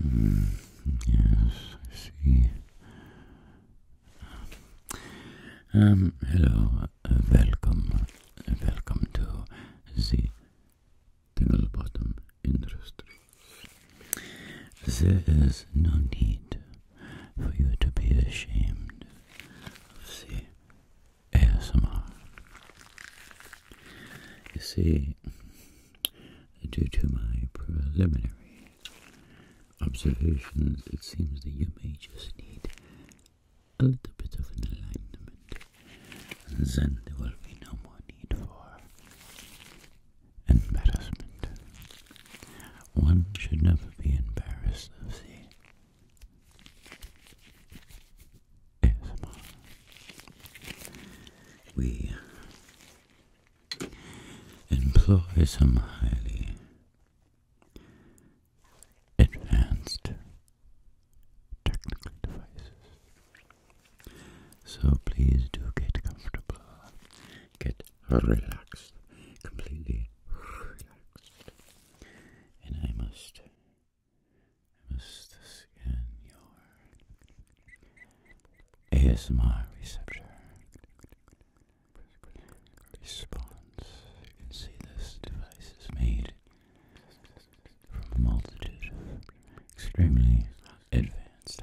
Hmm, yes, I see. Um, hello, uh, welcome, uh, welcome to the Tingle Bottom Industry. There is no need for you to be ashamed of the ASMR. You see, due to my preliminary observations, it seems that you may just need a little bit of an alignment, and then there will be no more need for embarrassment. One should never be embarrassed of the ASMR. We employ some highly advanced technical devices. So please do get comfortable, get relaxed, completely relaxed. And I must this must scan your ASMR receptor response. You can see this device is made from a multitude of extremely advanced,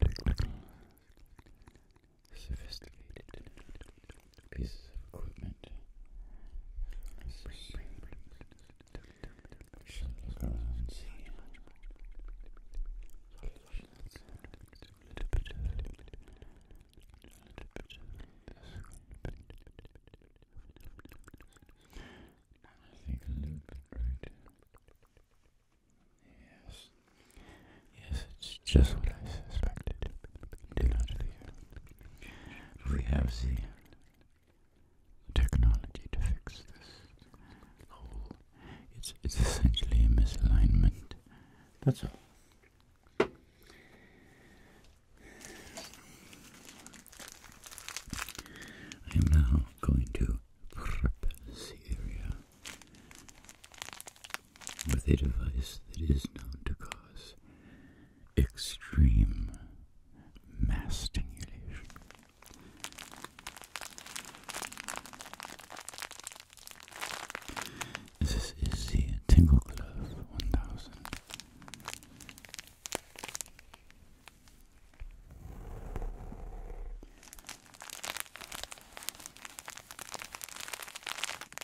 technology sophisticated pieces of equipment. I think a little bit right. Yes. Yes, it's just what I suspected. We have the technology to fix this It's, it's essentially a misalignment. That's all. I am now going to prep the area with a device that is known to cause extreme mass stimulation. This is the Tingle Glove 1000.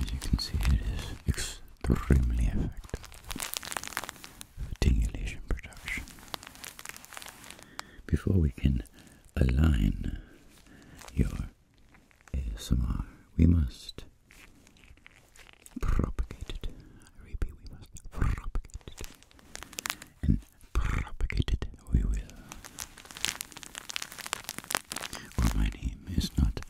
As you can see, it is extremely effective tingulation production. Before we can align your ASMR, we must propagate it. I repeat, we must propagate it and propagate it we will. For my name is not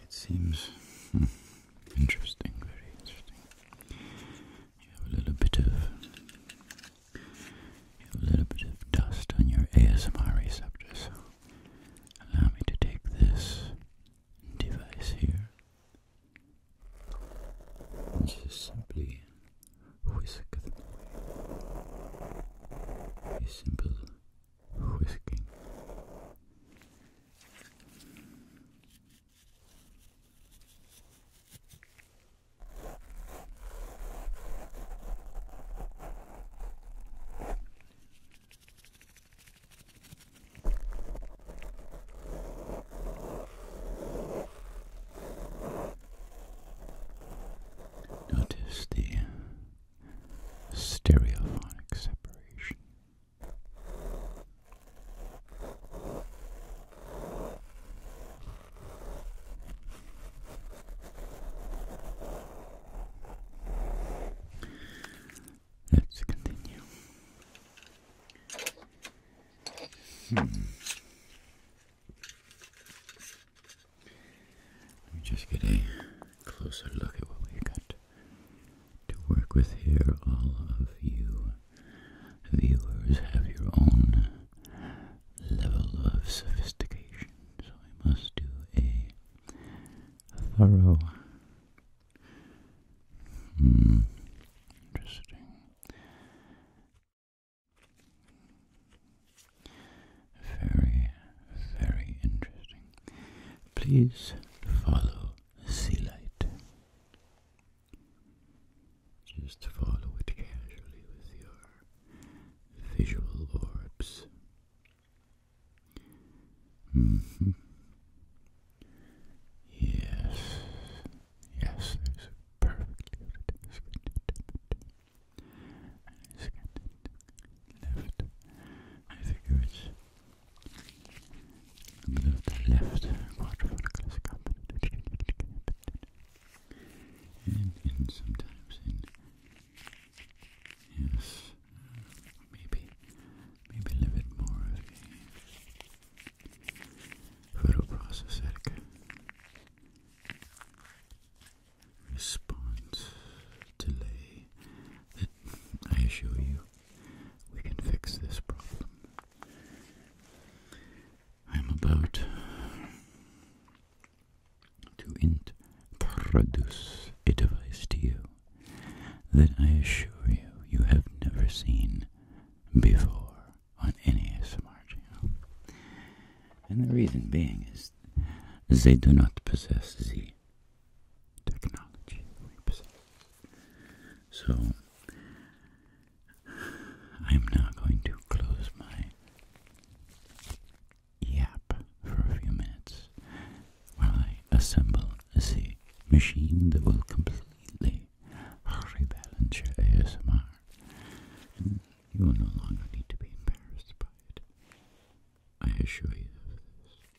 It seems hmm, Interesting, very interesting. You have a little bit of a little bit of dust on your ASMR receptors. Allow me to take this device here and just simply whisk them A simple whisking. Notice the stereophonic separation Let's continue. Hmm. Let me just get a closer look at what we got to work with here. All of you viewers have your own level of sophistication, so I must do a thorough. Hmm, interesting. Very, very interesting Please follow the sea light. Just follow it casually with your visual orbs. Mm-hmm. Yes, yes, perfect Left. I think it's the left quadrifocal is and, and sometimes in yes, maybe maybe a little bit more of a photoprocessoric response delay I assure you we can fix this problem. I am about to introduce a device to you that I assure you you have never seen before on any ASMR channel. And the reason being is they do not possess the technology So, I'm now going to close my yap for a few minutes while I assemble the machine that will completely rebalance your ASMR. And you will no longer need to be embarrassed by it. I assure you of this.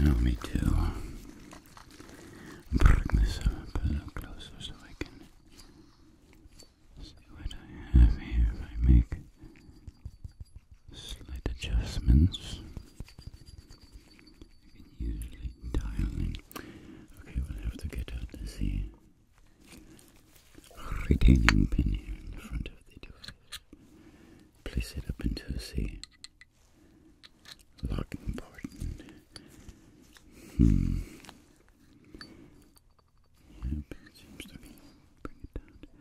No, me too. Bring this up a little closer so I can see what I have here if I make slight adjustments. You can usually dial in. Okay, we'll have to get out this retaining pin here in the front of the device. Place it up into the lock important. Hmm. Yep, seems to be bring it down.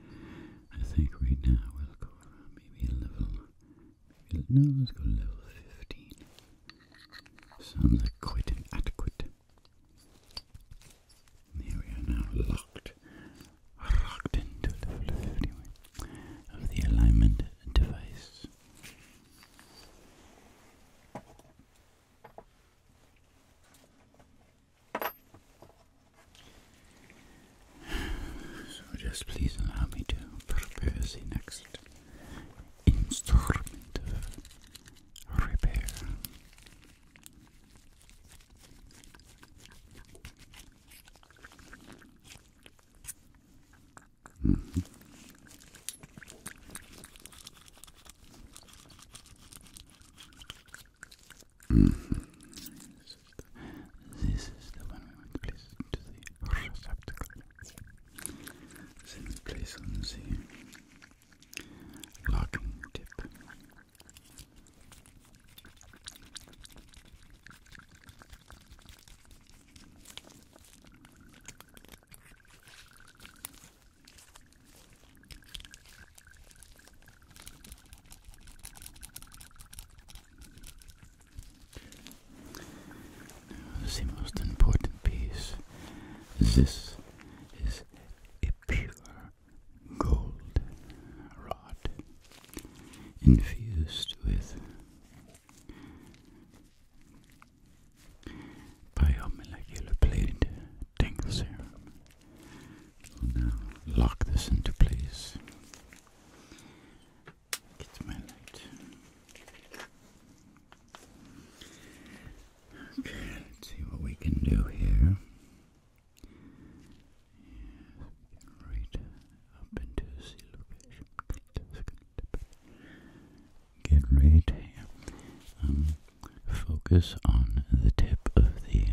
I think right now we'll go around maybe level. no, let's go level 15. Sounds like quite inadequate. Here we are now locked, locked into level 51 of the alignment device. So just please allow me to prepare the next instrument of repair. This is the one we want to place to the receptacle. Then place on the locking tip. The most important piece. This is a pure gold rod infused with biomolecular plated tangle now lock this into place. Get my light. Okay, let's see what we can do here. Yes, right up into the location. Get right here. Um, focus on the tip of the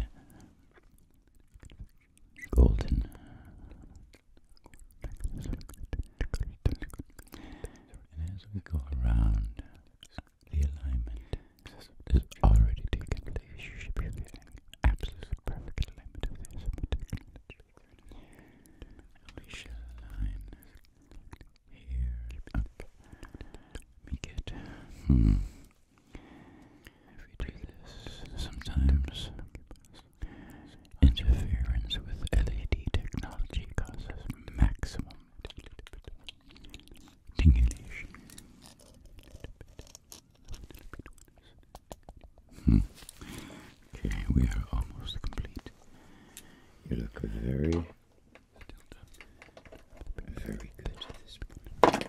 golden and as we go around the alignment has already taken place you should we shall align here up let get hmm. If you do this, sometimes interference with LED technology causes maximum tingulation. Hmm. Okay, we are almost complete. You look very, very good this morning.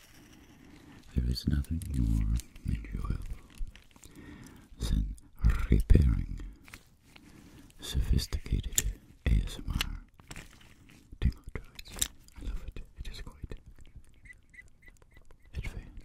There is nothing more enjoyable than repairing sophisticated ASMR tingle toys. I love it. It is quite advanced.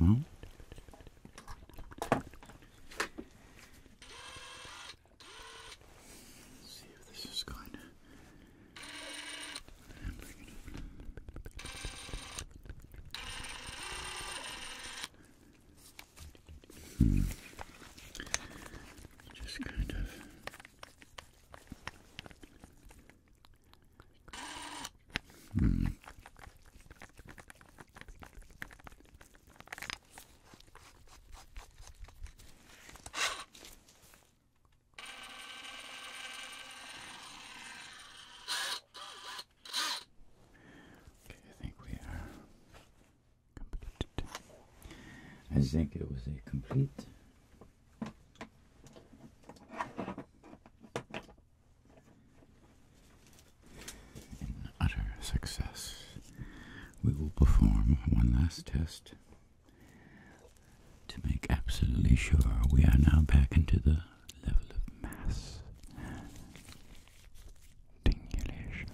well, see if this is going to. Hmm. Just kind of. Hmm. Okay, I think we are I think it was a complete in utter success, we will perform one last test to make absolutely sure we are now back into the level of mass tingulation.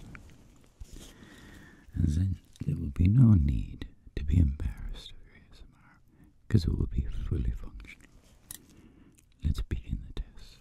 And then there will be no need to be embarrassed of ASMR because it will be fully functional. Let's begin the test.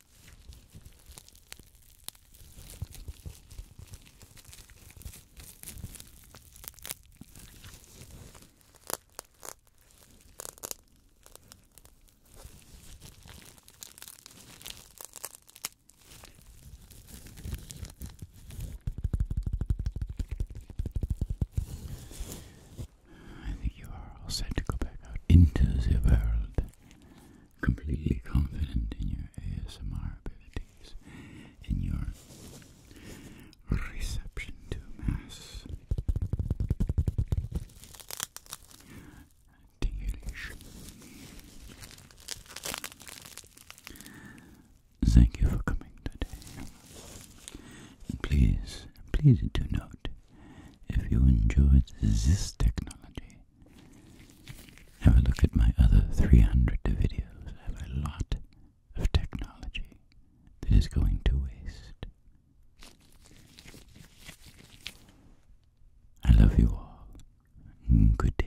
I think you are set to go back out into the world completely confident in your ASMR abilities, in your reception to mass tingulation. Thank you for coming today. please, please do note if you enjoyed this technology have a look at my other 300 videos. I have a lot of technology that is going to waste. I love you all. Good day.